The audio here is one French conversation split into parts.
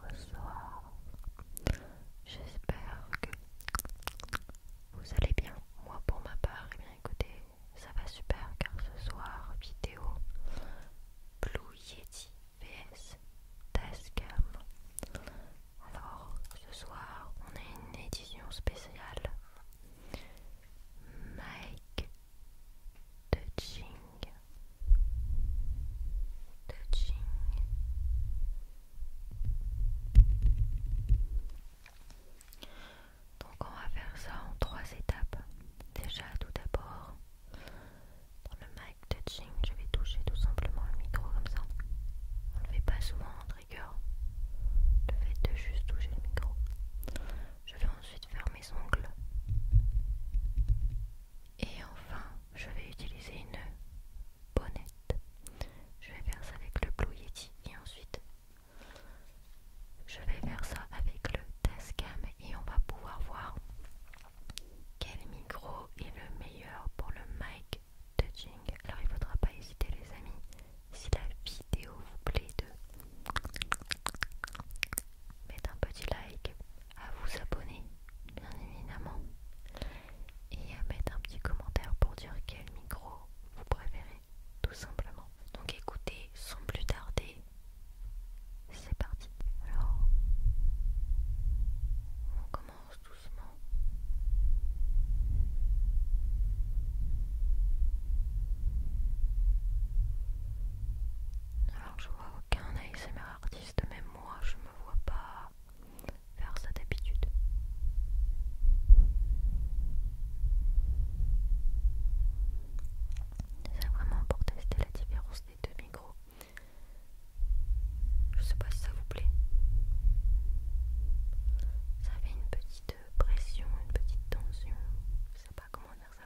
Bonsoir. J'espère que vous allez bien. Moi pour ma part, et eh bien écoutez, ça va super car ce soir vidéo Blue Yeti vs Tascam. Alors ce soir, on a une édition spéciale Mike de Jing touching. Donc on va faire ça en trois étapes. Déjà tout d'abord, dans le mic touching, je vais toucher tout simplement le micro comme ça. On ne le fait pas souvent en trigger, le fait de juste toucher le micro. Je vais ensuite fermer ongles. Et enfin, je vais utiliser une bonnette. Je vais faire ça avec le Blue Yeti et ensuite je vais faire ça avec le Tascam et on va pouvoir voir quel micro est le meilleur pour le mic touching. Alors il faudra pas hésiter les amis si la vidéo vous plaît de mettre un petit like, à vous abonner bien évidemment et à mettre un petit commentaire pour dire quel micro vous préférez tout simplement. Donc écoutez, sans plus tarder, c'est parti. Alors, on commence doucement. Alors je vois aucun ASMR artiste, même moi je me vois pas faire ça d'habitude. C'est vraiment pour tester la différence des deux micros. Je sais pas si ça vous plaît. Ça fait une petite pression, une petite tension. Je sais pas comment dire ça.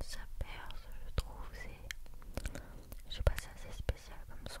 Ça perce, je trouve, c'est. Je sais pas, c'est assez spécial comme son.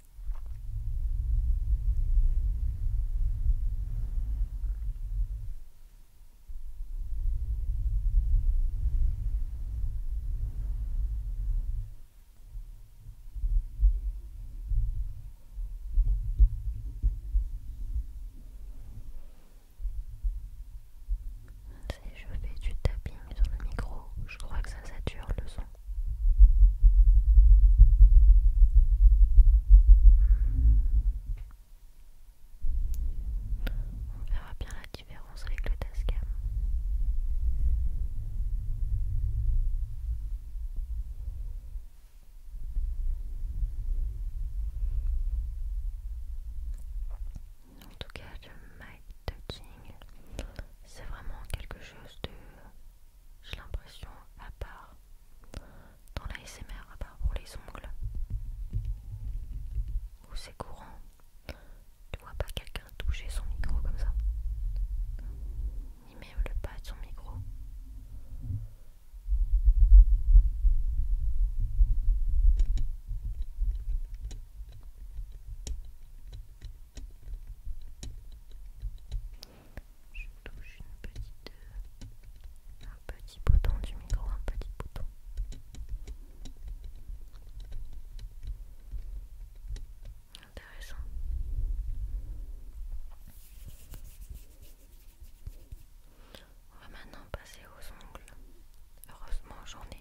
Si je fais du tapping sur le micro, je crois que ça sature le son. On verra bien la différence avec le Tascam. En tout cas, le mic touching, c'est vraiment quelque chose de j'ai l'impression, à part dans la SMR, à part pour les ongles, où c'est courant, tu vois pas quelqu'un toucher son micro comme ça, ni même le pas de son micro je touche une petite, euh, un petit bouton du micro, un petit bouton. Intéressant. On va maintenant passer aux ongles. Heureusement, j'en ai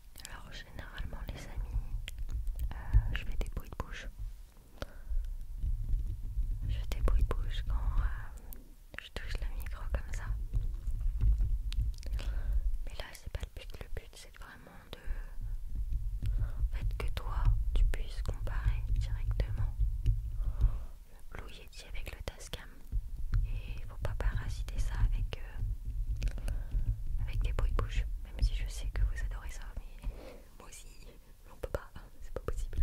Alors généralement les amis, euh, je fais des bruits de bouche. Je fais des bruits de bouche quand euh, je touche le micro comme ça. Mais là c'est pas le but, le but c'est vraiment de... En fait que toi tu puisses comparer directement le avec le il et faut pas parasiter ça avec euh, avec des bruits de bouche même si je sais que vous adorez ça mais moi aussi on peut pas c'est pas possible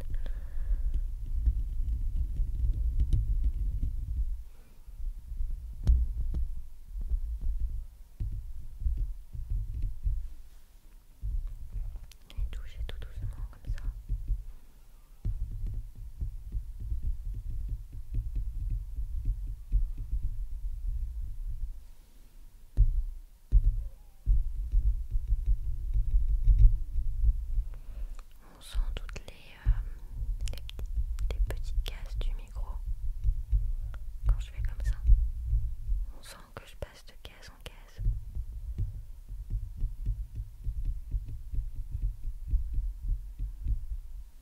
et toucher tout doucement comme ça. On sent toutes les, euh, les, petites cases du micro. Quand je fais comme ça, on sent que je passe de case en case.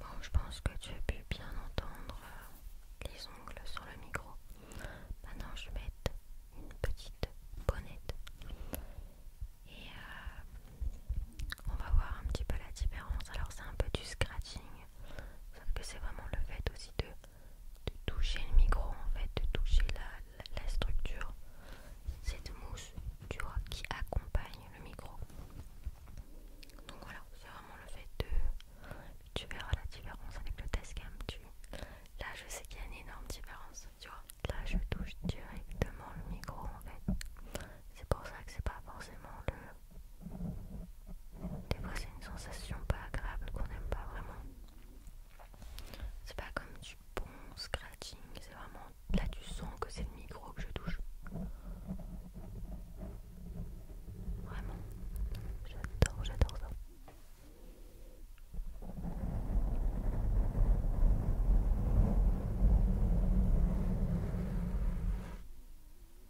Bon, je pense que tu as pu bien entendre euh, les ongles sur le micro. Maintenant, je vais mettre une petite bonnette et euh, on va voir un petit peu la différence. Alors, c'est un peu du scratching, sauf que c'est vraiment le fait aussi de de toucher le micro en fait, de toucher la, structure, cette mousse, tu vois, qui accompagne le micro. Donc voilà, c'est vraiment le fait de... Tu verras la différence avec le test cam, tu... Là je sais qu'il y a une énorme différence, tu vois. Là je touche directement le micro en fait. C'est pour ça que c'est pas forcément le des fois, c'est une sensation pas agréable qu'on n'aime pas vraiment. C'est pas comme du bon scratching, c'est vraiment là tu sens que c'est le micro que je touche. Vraiment, j'adore, j'adore ça.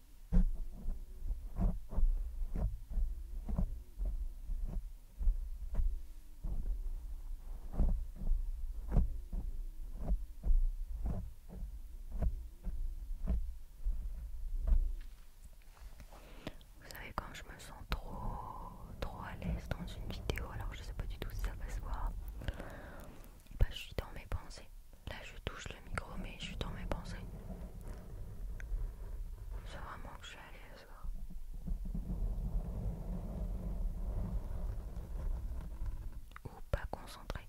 Vous savez quand je me sens trop trop à l'aise dans une vidéo alors je sais pas du tout si ça va se voir bah, je suis dans mes pensées. Là, je touche le micro, mais je suis dans mes pensées. C'est vraiment que je suis à l'aise. Ou pas concentrée.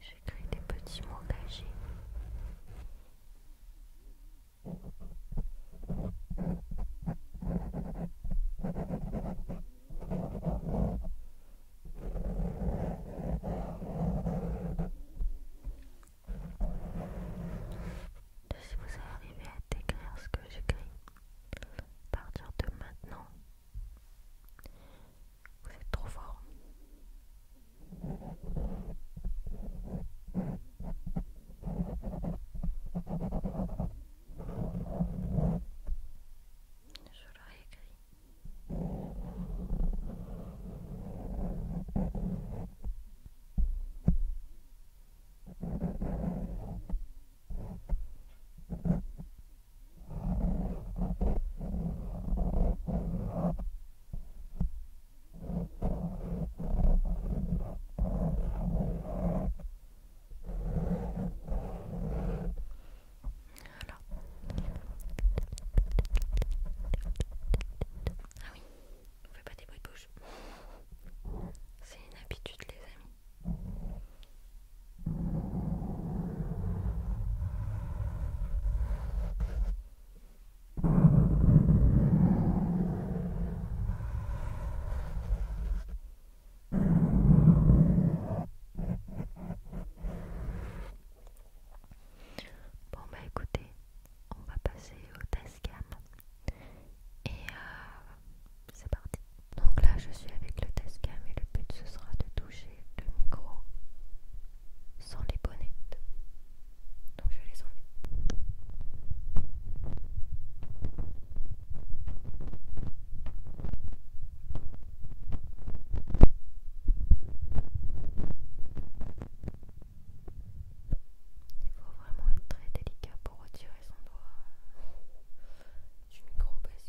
J'écris des petits mots cachés. Si vous arrivez à décrire ce que j'écris, à partir de maintenant, vous êtes trop fort. Je leur ai écrit. Ah oui, on fait pas des bruits de bouche. C'est une habitude les amis. Bon bah écoutez, on va passer au test cam et euh, c'est parti. Donc là je suis avec le test cam et le but ce sera de tout le micro sans les bonnettes. Donc je les enlever. Il faut vraiment être très délicat pour retirer son doigt du micro parce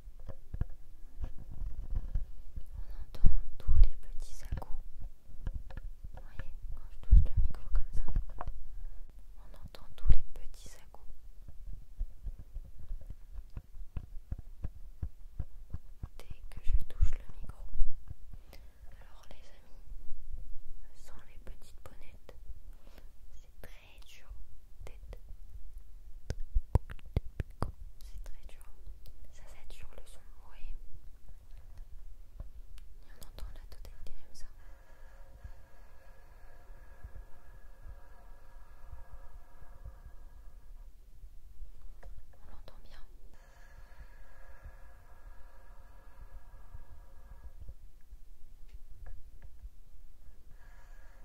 On entend tous les petits à Vous voyez, quand je touche le micro comme ça, on entend tous les petits à Dès que je touche le micro. Alors les amis, sans les petites bonnettes, c'est très dur tête c'est très dur. Ça sature le son oui. on entend la totalité comme ça. On l'entend bien.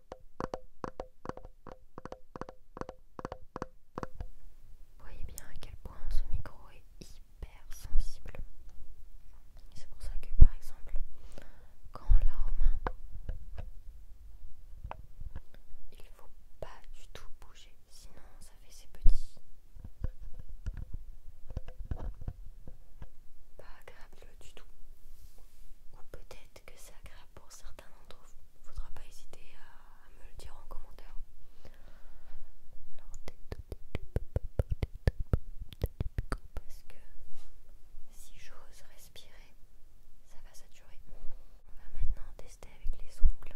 Vous voyez bien à quel point ce micro est hyper sensible. C'est pour ça que par exemple, quand on l'a aux mains, il faut pas du tout bouger, sinon ça fait ses petits pas agréable du tout. Ou peut-être que c'est agréable pour certains d'entre vous. Faudra pas hésiter à, me le dire en commentaire. parce que si j'ose respirer, ça va saturer. On va maintenant tester avec les ongles.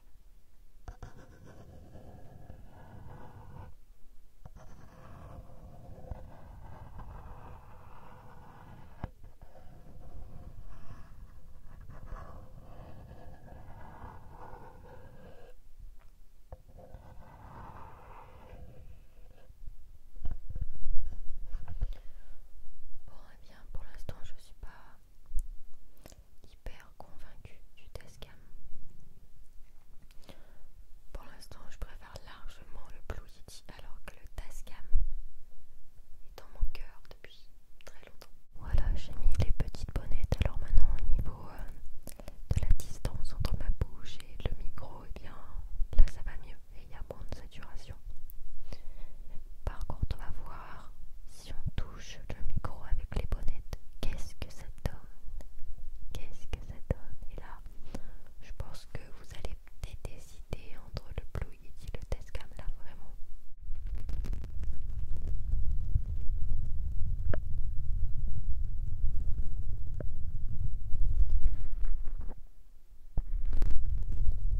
Bon, eh bien pour l'instant, je suis pas hyper convaincu du Tascam Pour l'instant, je préfère largement le Blue Yeti alors que le Tascam est dans mon cœur depuis très longtemps. Voilà, j'ai mis les petites bonnettes. Alors maintenant, au niveau euh, de la distance entre ma bouche et le micro, et eh bien là ça va mieux et il y a moins de saturation. Par contre, on va voir si on touche le micro avec les bonnettes. Qu'est-ce que ça donne Qu'est-ce que ça donne Et là, je pense que vous allez peut-être décider entre le Blue et le Testcam là, vraiment.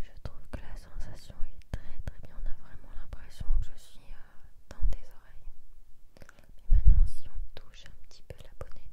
Je trouve que la sensation est très très bien, on a vraiment l'impression que je suis euh, dans des oreilles. Et maintenant si on touche un petit peu la bonnette.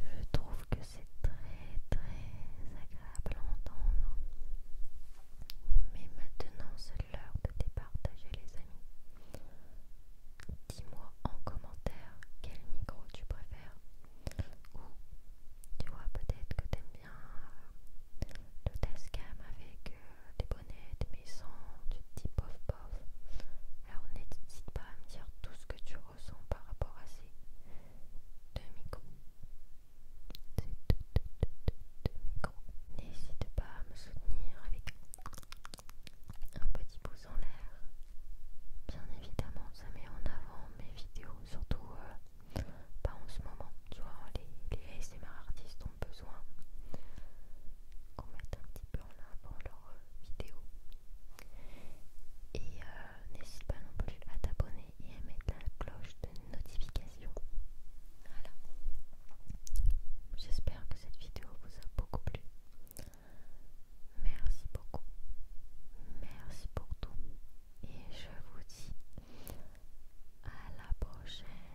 Je trouve que c'est très très agréable à entendre. Mais maintenant, c'est l'heure de partager les amis. Dis-moi en commentaire quel micro tu préfères. Ou tu vois peut-être que t'aimes bien le le Tascam avec euh, des bonnets, sens tu type dis Alors n'hésite pas à me dire tout ce que tu ressens par rapport à ces deux micros. N'hésite pas à me soutenir avec un petit pouce en l'air. Bien évidemment, ça met en avant mes vidéos, surtout euh, pas en ce moment. Tu vois, les, les ASMR artistes besoin qu'on mette un petit peu en avant leur euh, vidéo. Et euh, n'hésite pas non plus à t'abonner et à mettre la cloche de notification. Voilà. J'espère que cette vidéo vous a beaucoup plu. Merci beaucoup. Merci pour tout. Et je vous dis à la prochaine.